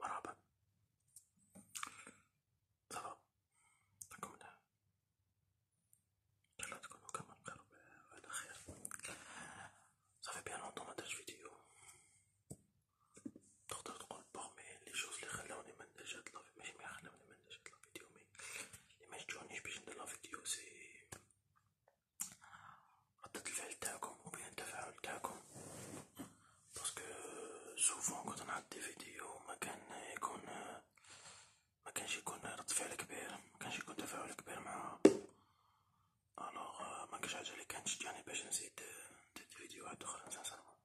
Marhaba. Ça va T'as comme là T'as l'air de connaître comme un carbe à l'arrière. Ça fait bien longtemps ما درتش فيديو. تقدر تقول بارمي لي شوز لي خلاوني ما نديرش هاد لافيديو ماشي ما خلاوني ما نديرش هاد لافيديو مي لي ما شجعونيش باش ندير لافيديو سي ردة الفعل تاعكم وبين التفاعل تاعكم باسكو سوفون كنت نعد دي فيديو ما كان يكون ما كانش يكون رد فعل كبير ما كانش يكون تفاعل كبير مع الوغ ما كانش حاجه اللي كانت تشجعني باش نزيد ندير فيديوهات اخرى سانسيرمون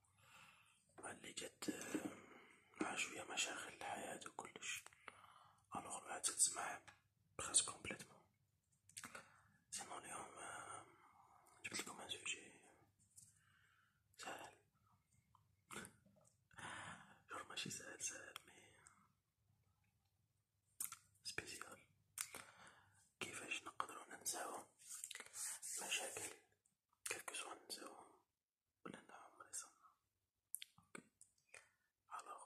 مع اللي جات مع شويه مشاغل الحياه وكلش الوغ الواحد تسمع بخاس كومبليتمون سمعوا اليوم جبت لكم عن سوجي سهل جور ماشي سهل سهل مي سبيسيال كيفاش نقدرو ننساو المشاكل كلكو سوا ننساوهم ولا انا عمري صنع اوكي الوغ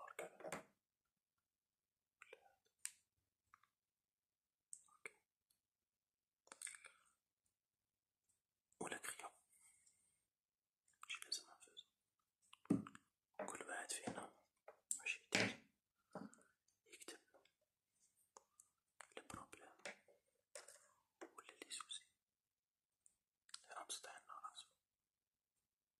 أركان ولا كريا ماشي لازم نفوز كل واحد فينا واش يدير يكتب لي بروبليم ولا لي سوسي راه مسطح لنا راسو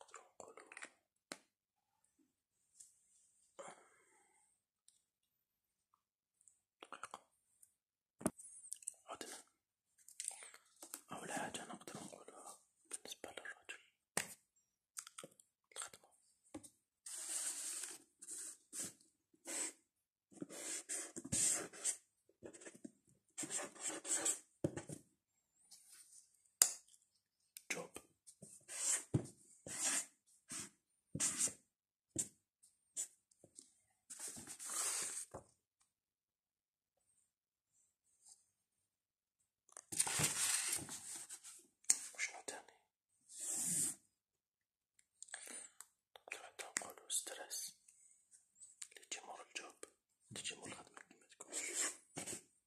نقدروا نقولوا دقيقة عدنا أول حاجة نقدر نقولها بالنسبة للرجل الخدمة job شنو تاني طلعت نقولو ستريس اللي تجي مور الجوب تجي مور الخدمة كيما تكون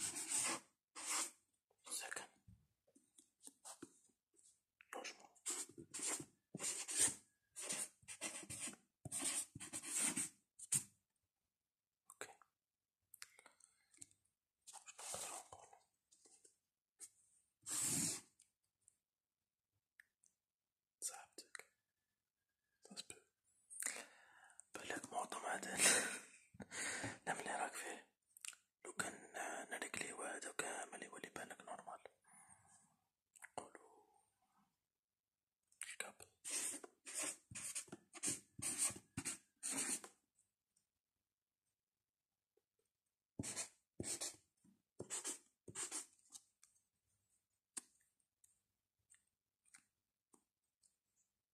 سكن نجمة اوكي مش بقدر اقول صاحبتك بلاك معظم عدل نملي راك فيه لو كان نريك ليوا هذا كامل يولي بالك نورمال نقولو كاب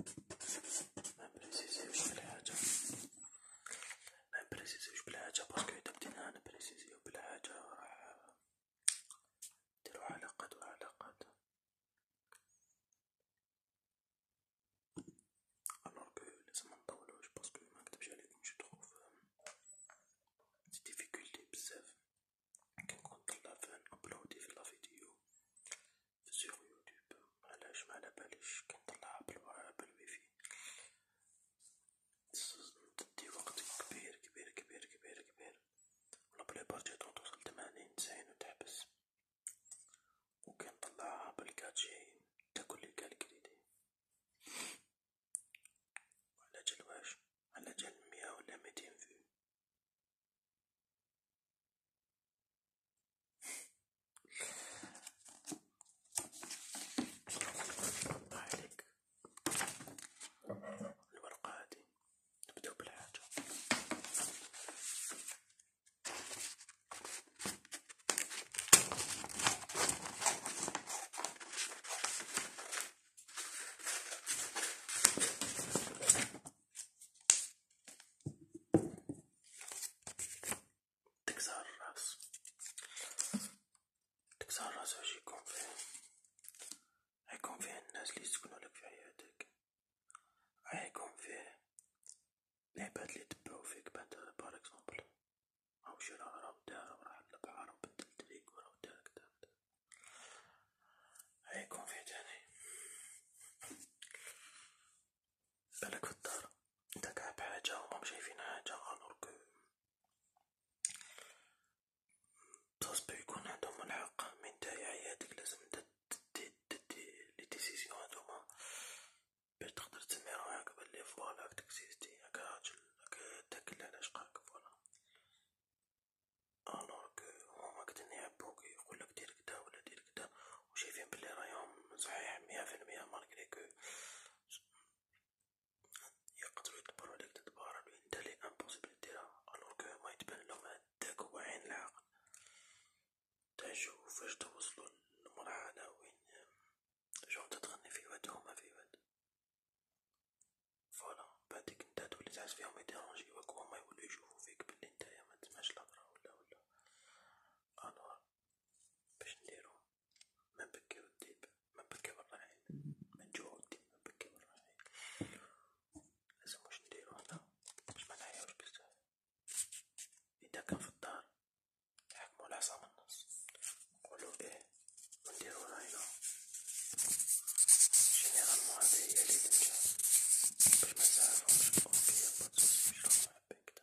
ما نبريسيزيوش بالحاجة ما نبريسيزيوش بالحاجة باسكو إذا بدينا نبريسيزيو بالحاجة راح نديرو علاقات وعلاقات ألوغ كو لازم منطولوش باسكو منكدبش عليكم جو تخوف ديفيكولتي بزاف كنكون طلع في نأبلودي في لا فيديو sur YouTube علاش ما على باليش كنطلعها بالوا بالويفي تدي وقت كبير كبير كبير كبير كبير ولا بلي بارتي توصل تمانين تسعين وتحبس وكنطلعها بالكاتشي تاكل لي الكريدي على جال واش على جال مية ولا ميتين فيو عليك الورقة هذه نبداو بالحاجة تكسر الراس تكسر الراس واش يكون فيه غيكون فيه الناس اللي يسكنوا لك في حياتك غيكون فيه العباد اللي تبعو فيك بعد باغ اكزومبل او شي راه راه دار وراه البحر وبدل دريك وراه دار كدا غيكون فيه تاني بالك في الدار انت كاع بحاجة وما شايفين حاجة الوغ كو بصح يكون عندهم الحق من تاعي حياتك لازم تدي تدي لي ديسيزيون هادوما باش تقدر تسمي روحك بلي فوالا راك تكزيستي راك راجل راك تاكل على شقاك فوالا الوغ كو هما قد يعبوك يقولك دير كدا ولا دير بشكل كدا وشايفين بلي رايهم صحيح مية في المية مالغري كو يقدرو يدبرو عليك تدبر انت لي امبوسيبل ديرها الوغ كو هما يتبان لهم هداك هو عين العقل تعيشو فاش توصلو لمرحلة وين جون تتغني في واد هما في واد فوالا بعديك نتا تولي تعس فيهم يديرونجيوك وهما يولو يشوفو فيك بلي نتايا متسمعش الهضرة ولا ولا الوغ باش نديرو ما نبكيو الديب ما نبكيو الراعي ما نجوعو الديب ما نبكيو الراعي لازم واش نديرو هنا باش ما نعياوش بزاف اذا كان في الدار نحكمو العصا من النص نقولو ايه ونديرو راينا جينيرالمون هادي هي لي تنجح باش ما نسعفهمش اوكي با تسوس باش نروح نحب هكدا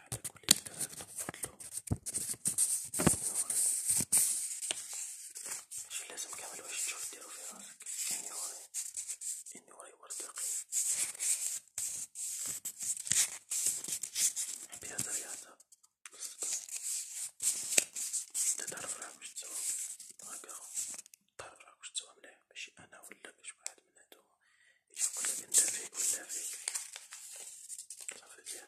على كل الكلام وفضله ماشي لازم كامل واش تشوف ديرو في راسك اني وري اني وري وردقي بهذا رياضة انت تعرف راك واش تسوى هاكا تعرف راك واش تسوى مليح ماشي انا ولا باش واحد من هادوما يشوف كل بنت فيك ولا فيك صافي بيان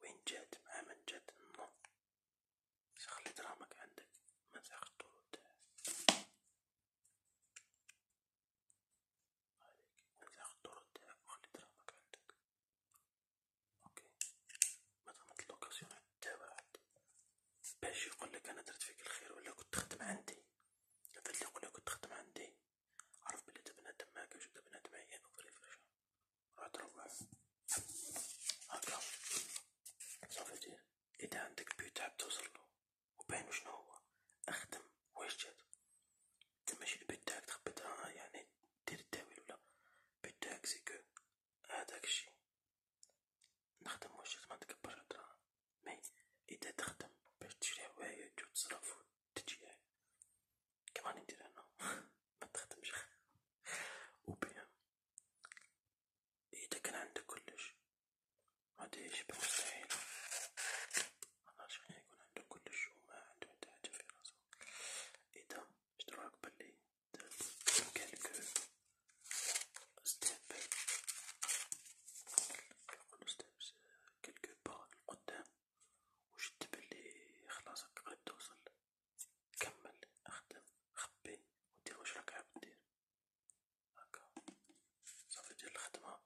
وين جات مع من جات النوم خلي درامك عندك ما تاخذ طول ما تاخذ طول تاعك وخلي درامك عندك اوكي مادام لوكاسيون حتى واحد باش يقول لك انا درت فيك الخير ولا كنت تخدم عندي هذا اللي يقول لك كنت تخدم عندي عرف بلي دا بنادم ماكاش و دا بنادم عيان و فري فرشة واضربها هكا صافي دير اذا عندك بيو تعب توصلو وباين شنو هو اخدم واش جات انت ماشي البيت تاعك تخبطها آه، يعني دير التاويل ولا البيت تاعك سيكو هذاك الشي نخدم واش جات ما تكبرش الدراهم مي اذا تخدم باش تشري هوايات وتصرف وتجي كيما ندير انا ما تخدمش وبيان اذا إيه، كان عندك كلش هادي شبه مستحيلة انا شحال يكون عنده كلش وما عنده حتى حاجة في راسو اذا إيه، شدراك بلي يمكنلك ستيب كنقولو ستيب كلكو با لقدام وشد بلي خلاصك غادي توصل كمل خدم خبي ودير واش راك عاب دير هاكا صافي دير الخدمة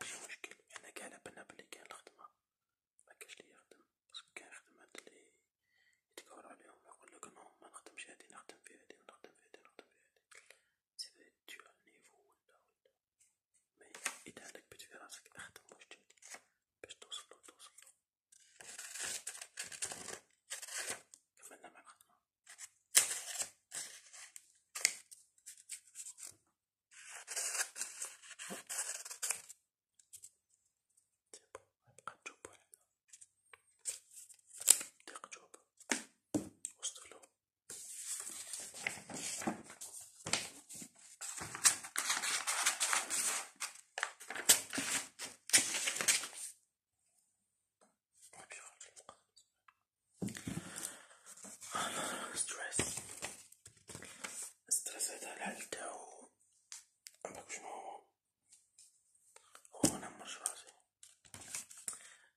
ماشي مشكل انا كاع على بالنا بلي كاين الخدمة مكانش ليا خدم باسكو كاين خدمات لي يتكور عليهم يقولك نو منخدمش هادي نخدم في هادي ونخدم في هادي نخدم في هادي سيفي تجي على النيفو ولا ولا مي اذا عندك بيت في راسك اخدم واش تجيك باش توصلو توصلو كملنا مع الخدمة ديبو نبقى نجوبو على ديق جوب وصلو ستريس ستريس هذا الحل تاعو عندك شنو هو هو نعمرش راسي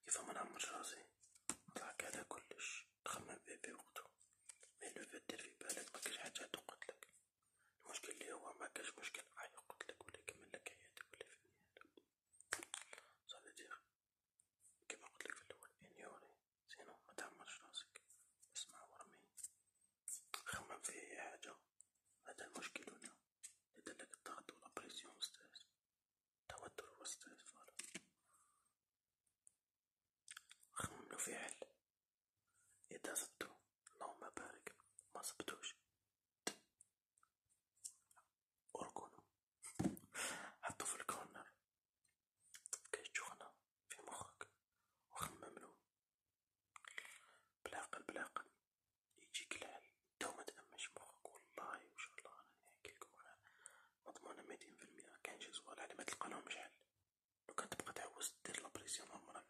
كيف ما نعمرش راسي نطلع هكذا كلش تخمم بيه بوقتو مي لو فات دير في بالك مكاش حاجة تقتلك المشكل اللي هو ما كاش مشكل عايق قتلك ولا يكملك حياتك ولا في نهايتك صافي دير كما قلتلك في الاول انيوري زينو متعمرش راسك اسمع ورمي خمم في اي حاجة هذا المشكل هنا يدلك الضغط ولا بريسيون وستاس توتر وستاس فوالا خمم له في حل إذا صدته اللهم بارك ما صبتوش أركنوا حطوا في الكورنر كي تشوفنا في مخك وخمملو بلا عقل بلا عقل يجيك العقل تو متأمنش مخك والله إن شاء الله أنا نحكيلكم مضمونة ميتين في المية كاين شي زوال على متلقالهمش حل لو كان تبقى تعوز دير لابريسيون عمرك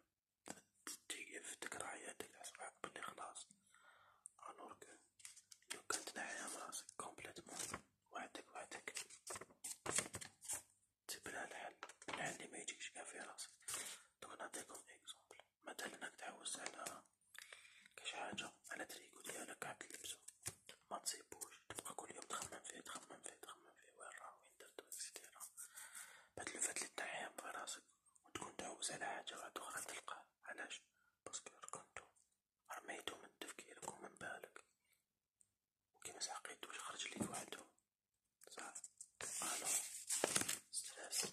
تجيف تكره حياتك تحسب بلي خلاص الوغ كو لو كان تنعيها من راسك كومبليتمون وحدك وحدك تسيب لها الحل الحل لي ميجيش كاع في راسك دونك نعطيكم اكزومبل مثلا راك تعوز على كاش حاجة على تريكو ديالك عاد تلبسو متصيبوش تبقى كل يوم تخمم فيه تخمم فيه تخمم فيه وين راه ويندرد واكسترا بعد الفات اللي تنعيها براسك وتكون تعوز على حاجة واحدة أخرى تلقاها علاش باسكو ركنتو رميتو من تفكيرك ومن بالك وكيما سحقيتوش خرج ليك وحدو صح الو ستريس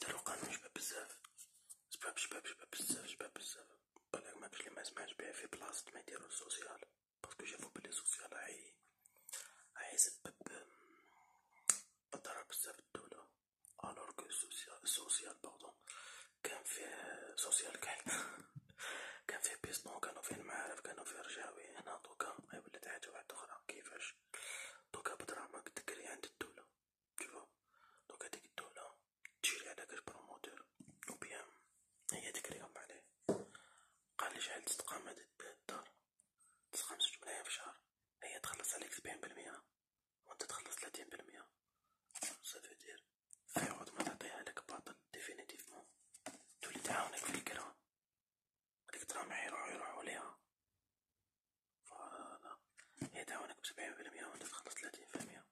دارو قانون شباب بزاف شباب شباب شباب بزاف شباب بزاف بالك ماكش لي مسمعش بيه في بلاصة ما يديرو السوسيال باسكو شافو بلي سوسيال هاي هاي سبب ضرر بزاف الدولة الوغ كو سوسيال باردون كان فيه سوسيال كاع كان فيه بيستون كانو فيه المعارف كانو فيه رجاوي هنا دوكا هاي ولات حاجة واحدة أخرى كيفاش دوكا بدراهمك تكري عند الدولة tu vois دونك هاديك الدولة تجي لهداك البروموتور أو بيان هي هاديك لي غنباع عليه قالي شحال تتقام هاد الدار تتقام زوج ملايين في الشهر هي تخلص عليك سبعين بالمية وانت تخلص تلاتين بالمية صافي دير في عوض ما تعطيها لك باطل ديفينيتيفمون تولي تعاونك في الكرا هاديك الدراهم يروحو يروحو ليها فانا هي تعاونك بسبعين بالمية وانت تخلص ثلاثين في المية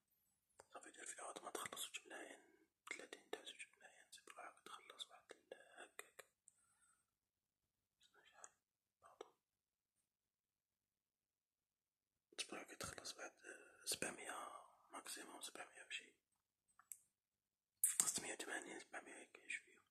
صافي دير في العوض ملايين ثلاثين تاع زوج ملايين زيد روحك تخلص هكاك شحال باردون بعد آه، سبعمية ماكسيموم سبعمية وشي ستمية وثمانين سبعمية هكا شوية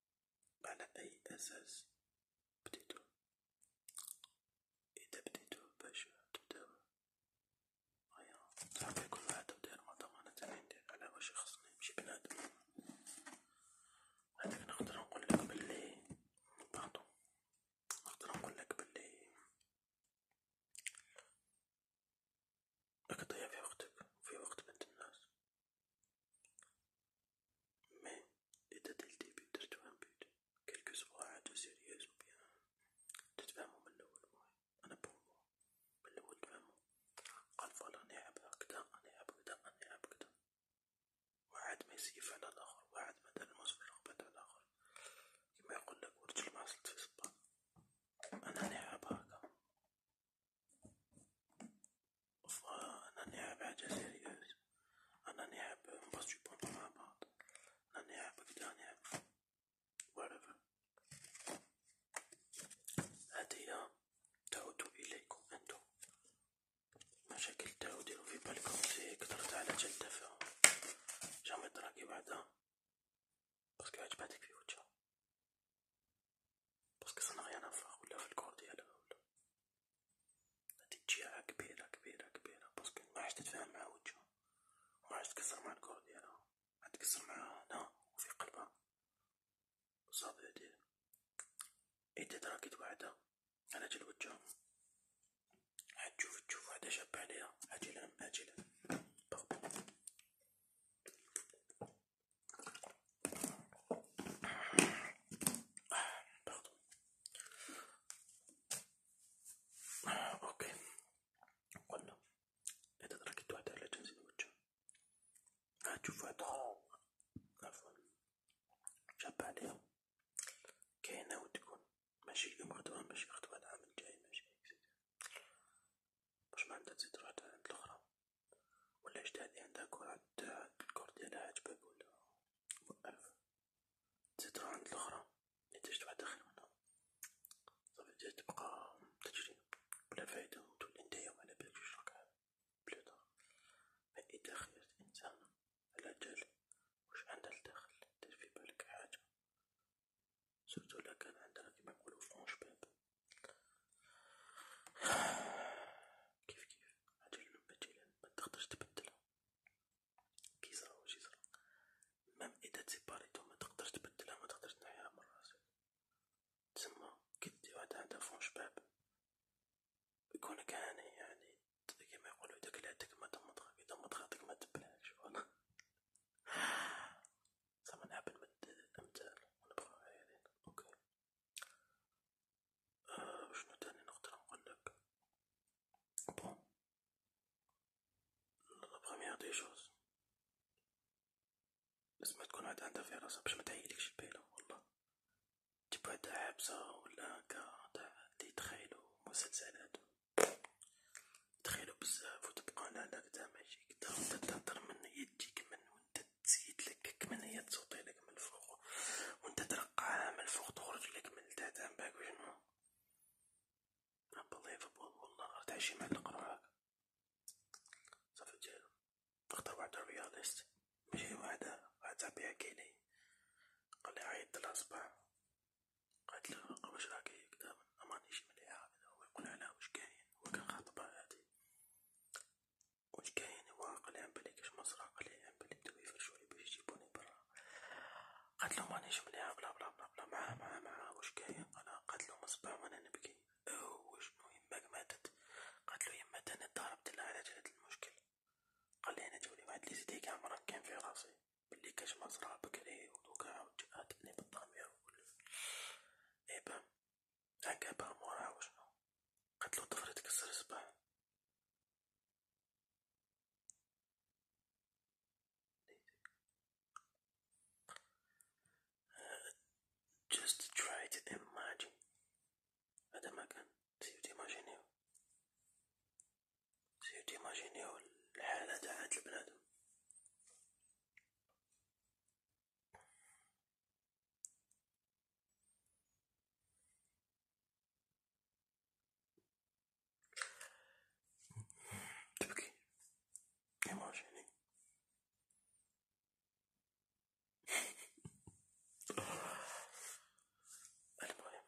على أي أساس بديتو؟ إذا بديتو باش تبداو هيا صعب يكون هذا وداير ما ضمانة ندير على واش خصني نمشي بنادم هذاك نقدر نقولك بلي باردون نقدر نقولك بلي راك تضيع في وقتك وفي وقت بنت الناس Mais, était dès le début درتو ان بوت كلكو سوا عادو سيريوز و بيان تتفاهمو من اللول معايا انا بور موا من اللول تفاهمو قال فوالا نلعب هكدا نلعب هكدا نلعب هكدا واحد ما يسيف على الاخر واحد ما دار الماس في الرقبة على الاخر كيما يقولك ورجل ما عصلت في صباط انا نلعب هكا فأنا نحب حاجة سيريوز أنا نحب نبسطو بونطو مع بعض أنا نحب كدا نحب whatever هدية تعود إليكم أنتم مشاكل تاو ديرو في بالكم زي قدرت على تلتفهم جامي تراكي بعدا باسكو عجباتك في وجهها باسكو صنع غير نفخ ولا في الكور ديالها ولا هادي تجيها كبيرة كبيرة كبيرة باسكو معادش تتفاهم مع وجهها ومعادش تكسر مع الكور ديالها عاد تكسر معاها هنا وفي قلبها وصافي هادي إيدي تراكت وحدها على جال وجهها عاد تشوف تشوف وحدة شابة عليها عاجلا أم آجلا بغبغ Pardon. اوكي قلنا اذا تركت واحدة على جنس الوجه هتشوف واحدة عفوا شابة عليها كاينة وتكون ماشي مخدومة ماشي مخدومة العام الجاي ماشي باش ما عندها تزيد واحدة عند الأخرى والاجداد اللي عندها كرة تاع الكور ديالها عجبك ولا وقف تزيد راه عند الاخرى اللي تجد واحد اخر منها صافي تجي تبقى تجري بلا فايدة وتولي نتايا على بالك جوج ركعات بلا دار فإذا خيرت إنسان على جال واش عندها لداخل دير في بالك حاجة سورتو لا كان عندها كيما نقولو فرونش باب كيف كيف عجلا بجلا ما تقدرش تبدلها كي صرا وشي صرا ميم إذا تسيباريتو ما تقدرش تبدلها ما تقدرش تنحيها من راسك تسمى كدي واحد عندها فون شباب يكونك هاني يعني كيما يقولو داك لا تكما تمضغ إذا مضغتك ما تبلعكش فوالا زعما نعبد من الأمثال ونبقاو عايرين أوكي آه شنو تاني نقدر نقولك بون لا بروميير دي شوز لازم تكون واحد عندها في راسها باش ما تعيلكش البيلة والله تجيب واحد عابسة ولا هكا تاع اللي تخيلو مسلسلات تخيلو بزاف وتبقى لا لا كدا ماشي كدا وانت تهضر من هي تجيك من وانت تزيد لك كمن هي تسوطي لك من الفوق وانت ترقعها من الفوق تخرج لك من تحت عم باك وشنو رب الله يفبوض والله غير تعيشي مع القروعك صافي ديالو اختار واحد الرياضيست ماشي واحد واحد صاحبي حكيلي قالي عيط لها صباح قالت له واش راكي كدا مانيش مليحة هو يقول على واش كاين هو كان خاطبها هادي ونكاين وعقلي عم بالي كاش مصر عقلي عم بالي بداو يفرشوني باش يجيبوني برا قالت له مانيش مليحة بلا بلا بلا بلا معاه معاه معاه واش كاين قال قالت له مصباح وانا نبكي او شنو يماك ماتت قالت له يمات انا ضربت لها على جلد المشكل قال لي انا جولي واحد لي زيديك عمران كان في راسي بلي كاش مصرا بكري ودوكا عاود جاتني بالضمير اي بام عقابها موراها وشنو قتلو طفل تكسر صباعو just try to imagine هذا ما كان سيو تيماجينيو سيو تيماجينيو الحالة تاع هاد البنادم تبكي يا ماشي المهم شو أقول لكم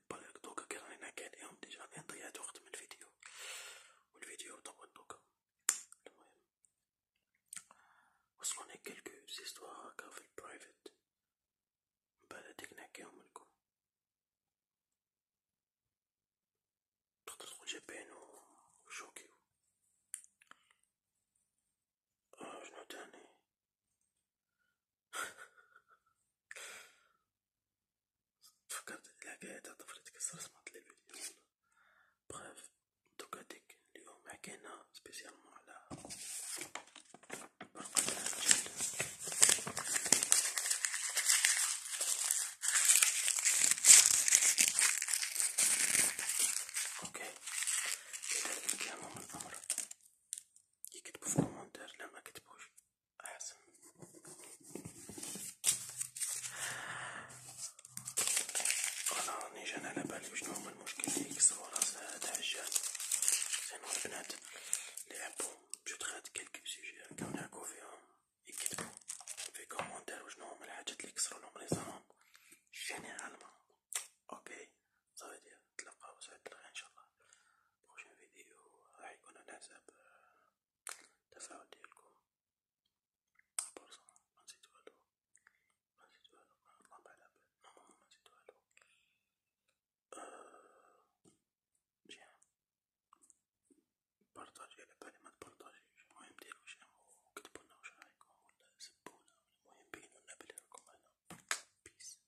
بالك دوكا كي رانا كاليهم ديجا غادي نضيع وقت من الفيديو والفيديو طول دوكا المهم وصلوني كلكو زيستوار هاكا في البرايفت مبعد هاديك نحكيهم لكم تقدر تقول جابين وشوكيو آه شنو تاني تفكرت الحكاية تاع طفلتك الصرصمة التلفزيون بخاف دوك هاديك اليوم حكينا سبيسيالمون على برقة الرجال اوكي إذا كان من الأمر يكتبو في الكومنتار لا مكتبوش أحسن أنا راني جان على بالي شنو هما المشكل لي يكسرو راس هاد عجان زينو البنات لي يحبو جو تخاد كالك سيجي هاكا ونحكو فيهم يكتبو في كومونتير وشنو هما الحاجات لي كسرولهم ريزانهم جينيرالمون اوكي صافي تلقاو سعد الغي ان شاء الله بروشين فيديو راح يكون على حساب التفاعل ديالكم برصا منسيت والو منسيت والو الله على بال نورمالمون منسيت والو جيم بارطاجي على بالي متبارطاجيش المهم ديرو جيم وكتبولنا واش رايكم ولا سبونا المهم بينولنا بلي راكم هنا بيس